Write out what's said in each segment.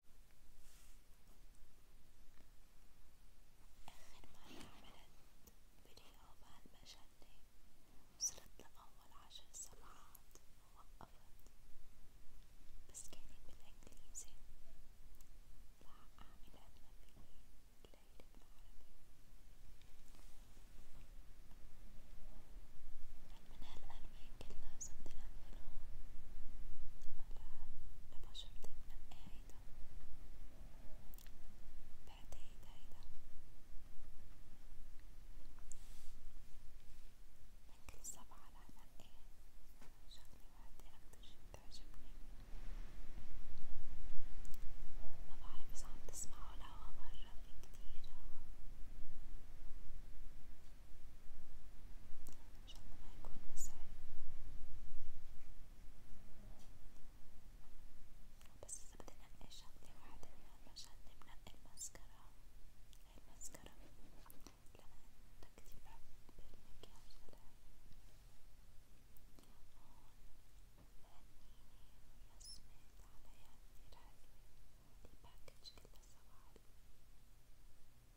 آخر مرة عملت فيديو بهالمجلة وصلت لأول عشر صفحات ووقفت بس كانت بالإنجليزي راح أعمل قد ما فيي ليلة بالعربي من هالقلب كلا سوف ننفذه على لبشرتك من قاعدة بعد هيدا هيدا من كل سبعة لنقي شغلة واحدة أكتر شي بتعجبني ما بعرف إذا عم تسمعوا الهوا برا في كتير هوا إن شاء الله ما يكون مزعج بس إذا بدي نقي شغلة واحدة من هالمشاكل بنقي الماسكارا هاي الماسكارا لأن كتير بحب المكياج تبعها هون مهنيني رسمت عليها كتير حلوة الباكج كله سوا حلو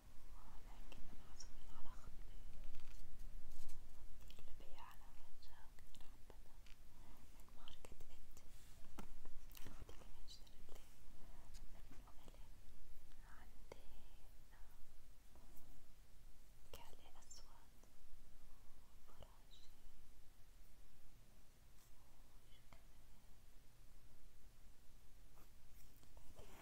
ولكننا عازمين على خطبي قلبي على وجهك رحبة من ماركة إد أختي كمان اشترت لي عندي كحلي أسود وفراشي وشو كمان بعدين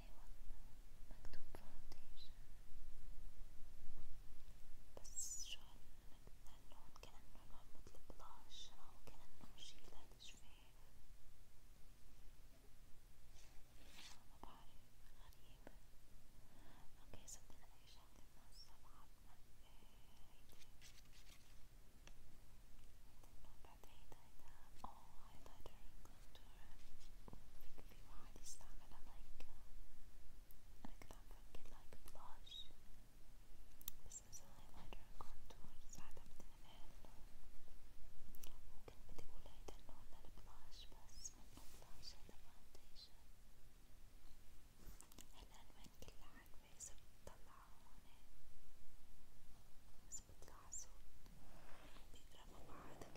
ايوه مكتوب فاونديشن بس شلون مثل اللون كأنه لون مثل بلاش أو كأنه شي لا تشفيه ما بعرف غريب اوكي صدقنا أي شغلة من الصباح بعد هيدا هيدا اوه هايلايتر في واحد يستعملها لايك أنا كنت عم فكر لايك بلاش بس مثلا هايلايتر كونتور ساعتها بتنفع وكنت بدي أقول هيدا النوع من البلاش بس منه بلاش هيدا فاونديشن هالألوان كلها حلوة إذا بتطلعها هون بس بيطلع صوت بيقربوا بعض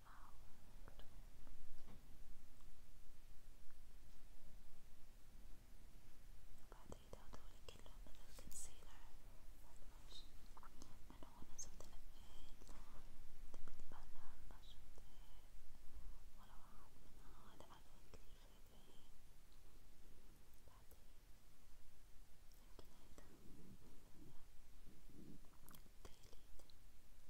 out. وبعدين هدول كلهم من الكونسيلر من هون زدت تبقى لمشت ولا واحد من هذا على كتير فادي بعدين يمكن هيدا تقليد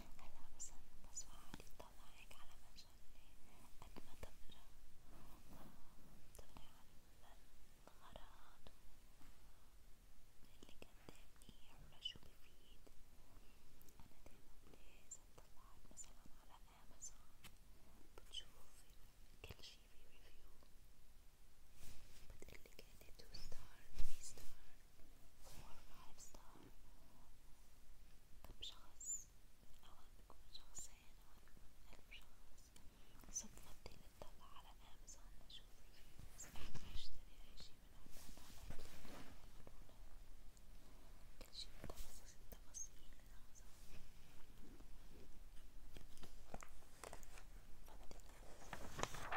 هلا مثلا المصفى عاد يطلع هيك على مجال قد ما تقرا تقرا على الغراض اللي قدامي ولا شو بفيد أنا دايما لازم طلعت مثلا على أمازون بتشوف كل شي في ريفيو بتقلي كانت تو ستار ثري ستار 4 star كم شخص أوان بيكون شخصين أوان بيكون ألف شخص صدفتي نطلع على أمازون نشوف إذا أحنا نشتري أي شي من عندهم على كل شي بتفاصيل تفاصيل أمازون فضل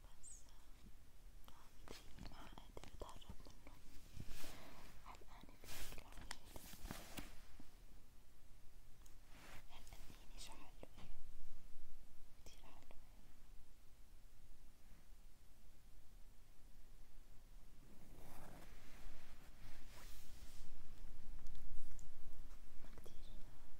بس ما قادر اتهرب منه هل أنا بشكل عميق؟ هل أنيني شحلوة؟ كتير حلوة ما كتير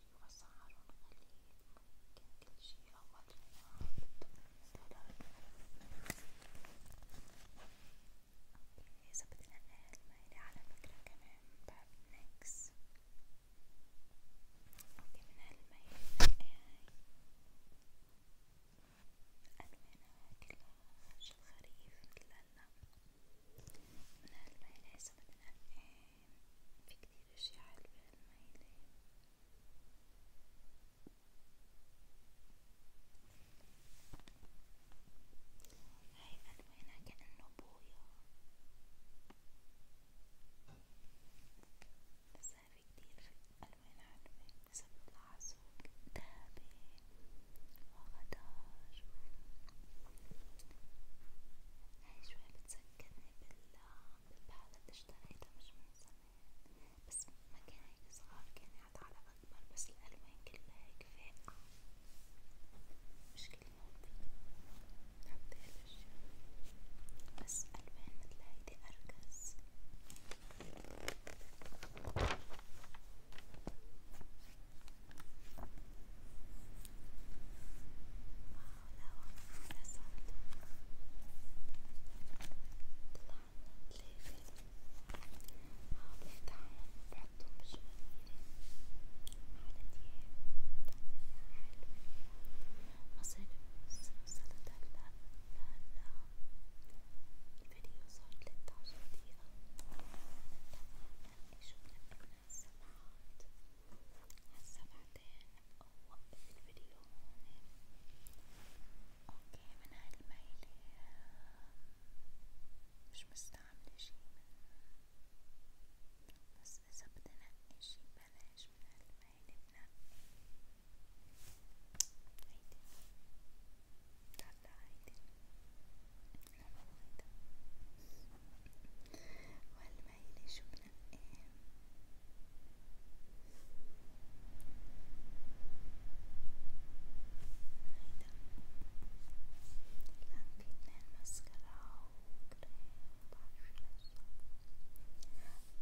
وأسعار غليل ممكن كل شي أول إذا بدنا ننقل على فكرة كمان باب نكس أوكي من هالميل ألوانها كلها شي خريف مثل هلا من هالميل إذا بدنا ننقل في كتير اشياء حلوة هالميلة هاي ألوانها كأنه بويا بس هاي كتير ألوان حلوة مثل العسول دهبي وغدار هاي شوي بتسكرني بال بالبعض اللي اشتريته مش من زمان بس ما كان هيك صغار كان حتى على أكبر بس الألوان كلها هيك فاقعة مش كل موضة حتى هالأشياء بس ألوان متل هيدي أركز الفيديو صار 13 دقيقة تماما شكرا لكم السماعات هسا بعدين بوقف الفيديو هون اوكي من هاي الميلة مش مستعملة شي بس اذا بدي شي بلاش من هاي الميلة هيدي لا هيدي لا لا وهالميلة شو على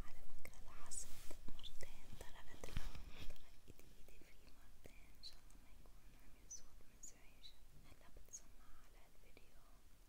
فكرة الحسد مرتين طرقت الأرض طرقت إيدي فيه مرتين إن شاء الله ما يكون عامل صوت مزعج هلا بتسمع على الفيديو